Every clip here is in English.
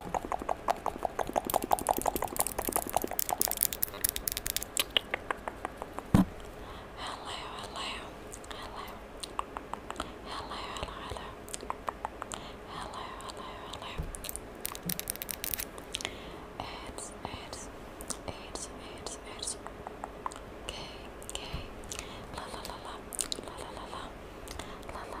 It's it's it's it's it's okay, okay. La la la la la la la la la la la la la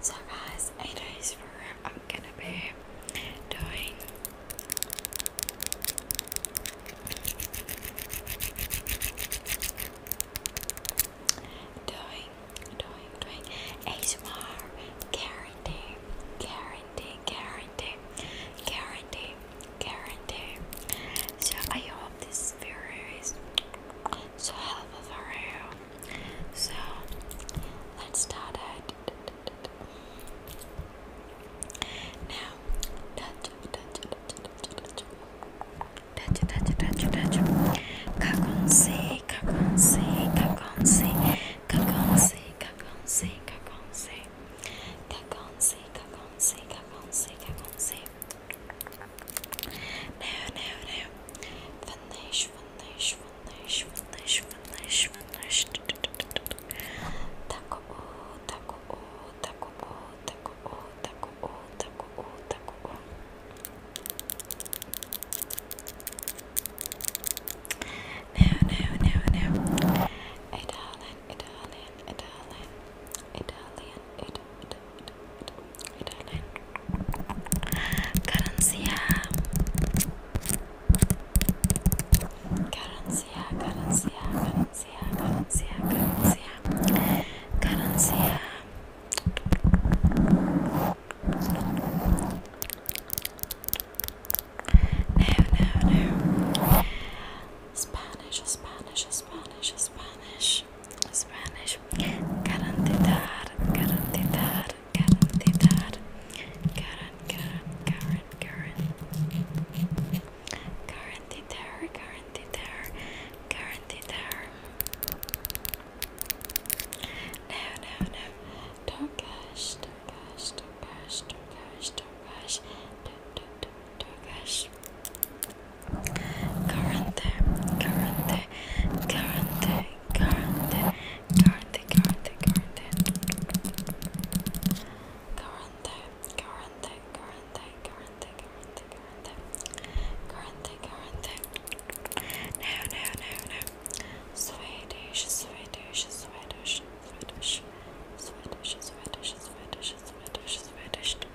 So guys, it is where I'm gonna be doing doing doing doing ASMR guarantee guarantee guarantee guarantee guarantee so I hope this video is so helpful for you so let's start it. Now, touch, touch, touch, touch, touch, touch, touch. Kakonsi, kakonsi, kakonsi, kakonsi, kakonsi, kakonsi, kakonsi, kakonsi, kakonsi, kakonsi. Now, now, now. Finish, Fınlaş, Now, now, now, now. Italian, Italian, Italian, Italian, Italian. Carencia, carencia, carencia, carencia, carencia, carencia, No, no, no. Spanish, Spanish, Spanish, Spanish, Spanish. Garantizar, garantizar, Karen did that. Karen, Karen, Karen, Karen. Karen did there, Karen did there, Karen did there. No, no, no. Don't gush, don't gush, don't gush, don't gush, don't gush. Don't, don't, don't, don't gush. Currente, currente, currente, current, current, current, current, current, current, current, current, current, current, no, no, no, no, Swedish, Swedish, Swedish, Swedish, Swedish, Swedish, Swedish, Swedish, Swedish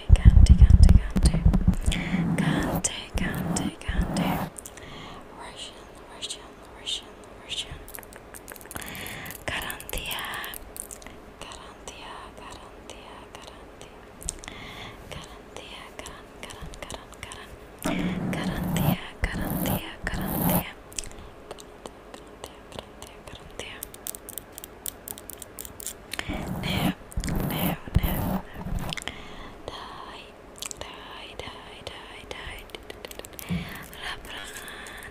Kante, Kante, Kante, Kante, Kante, Kante, Russian, Russian, Russian, Russian, Garantia, Garantia, Garantia, Garantia, Garantia, Garan, Garan, Garan, Garan, Garantia, Garantia, Garantia, Garantia, Garantia, Garantia, Garantia. No, no, no, no. Die, die, die, die, die. Rabrakan,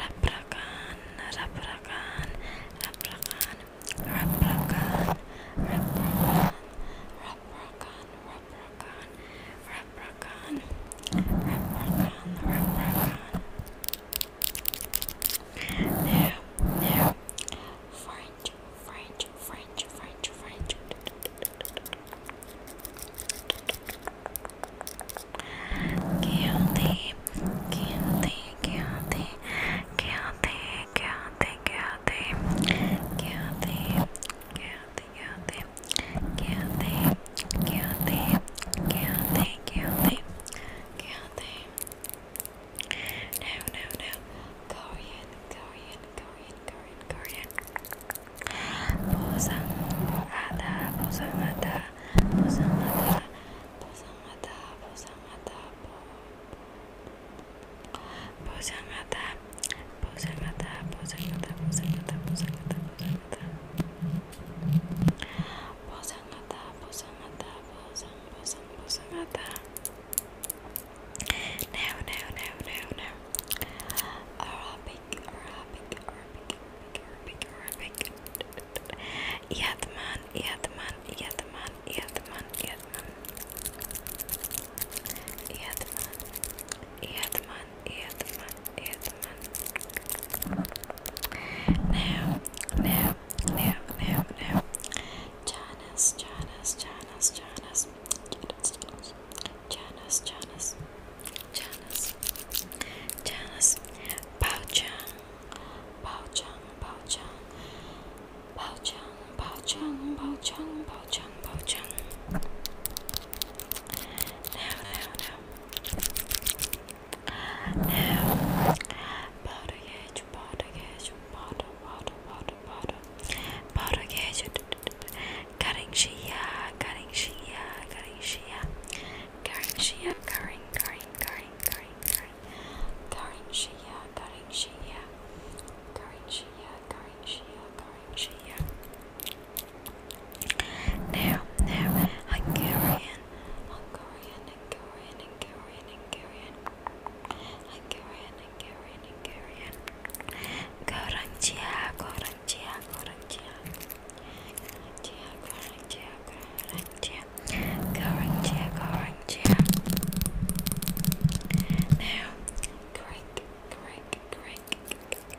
rabrakan, rabrakan, rabrakan, rabrakan, rabrakan, rabrakan, rabrakan, rabrakan, rabrakan, rabrakan, rabrakan. No, no. French, French, French, French, French. Guilty, guilty, guilty, guilty, guilty, guilty, guilty, guilty, guilty, guilty, guilty, guilty, guilty. Can't they? No, no, no. Korean, Korean, Korean, Korean, Korean. Bosan ada, bosan ada, bosan ada, bosan ada, bosan ada, bosan ada, bosan ada, bosan ada, bosan ada, bosan ada, bosan ada posang mata, posang mata, posang, posang, posang mata. Now, now, now, now, now. Arabic, Arabic, Arabic, Arabic, Arabic. Yatman, Yatman, Yatman, Yatman, Yatman. Yatman, Yatman, Yatman. ASMR. Now, now, now, now, now. Janice, Janice, Janice, Janice. Janice, Janice, Janice, Janice, Bao Chang, Bao Chang, Bao Chang, Bao Chang, Bao Chang, Bao Chang, Bao Chang, Bao Chang. Now, now, now. Now, powder gauge, powder gauge, powder, powder, powder, powder, powder gauge, cutting shia, cutting shia, cutting shia, cutting shia, cutting, cutting, cutting, cutting, cutting, cutting now, now, Hungarian, Hungarian, Hungarian, Hungarian, Hungarian, Hungarian, Hungarian, Hungarian. Garantia, garantia, garantia, garantia, garantia, garantia, garantia, garantia. Now, Greek, Greek, Greek, Greek,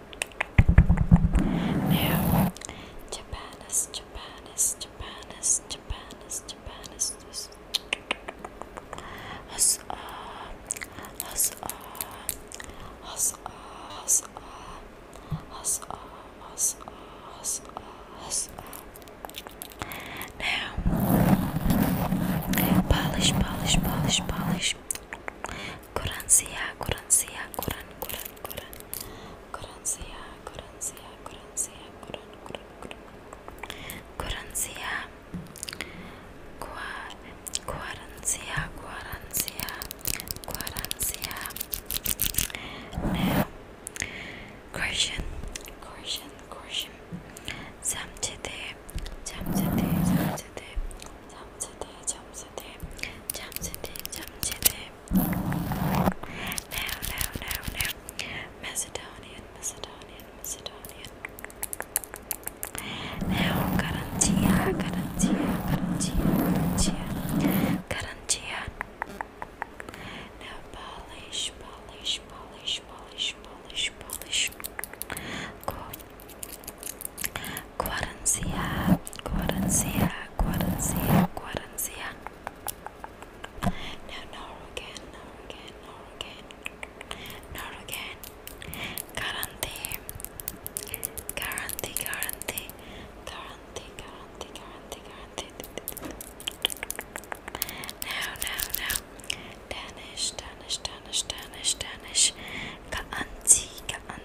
Now, Japan is Japan is Japan is Japan is Japan is this. Us uh, us uh, us uh, us uh, us uh, us uh, us uh, us uh. Now, polish, polish, polish, polish. Quran siya, Quran siya, Quran, Quran, Quran, Quran siya, Quran siya, Quran siya, Quran, Quran, Quran, Quran siya, Quran siya, Quran siya, Quran siya. Now, question, question, question. Samchite, samchite, samchite, samchite, samchite. Jamsete, Jamsete, Jamsete. Now, now, now, now. Macedonian, Macedonian, Macedonian. Now, Garantia, Garantia, Garantia, Garantia, Garantia. Now, polish, polish, polish, polish, polish, polish. Go. Guarancia, Guarancia, Guarancia, Guarancia. No, no again, no again, no again, no again. Guarantee, guarantee, guarantee, guarantee, guarantee, guarantee, guarantee. Now, now, now. Danish, Danish, Danish, Danish, Danish. Guarantee, guarantee.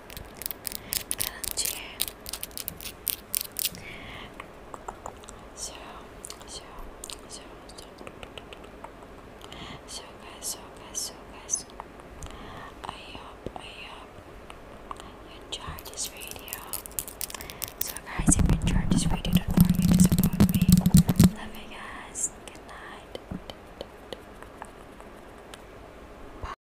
So, so, so, so, guys, so, guys, so, guys, I hope, I hope you enjoyed this video. So, guys, if you enjoyed this video, don't forget to support Love you guys. Good night. Bye.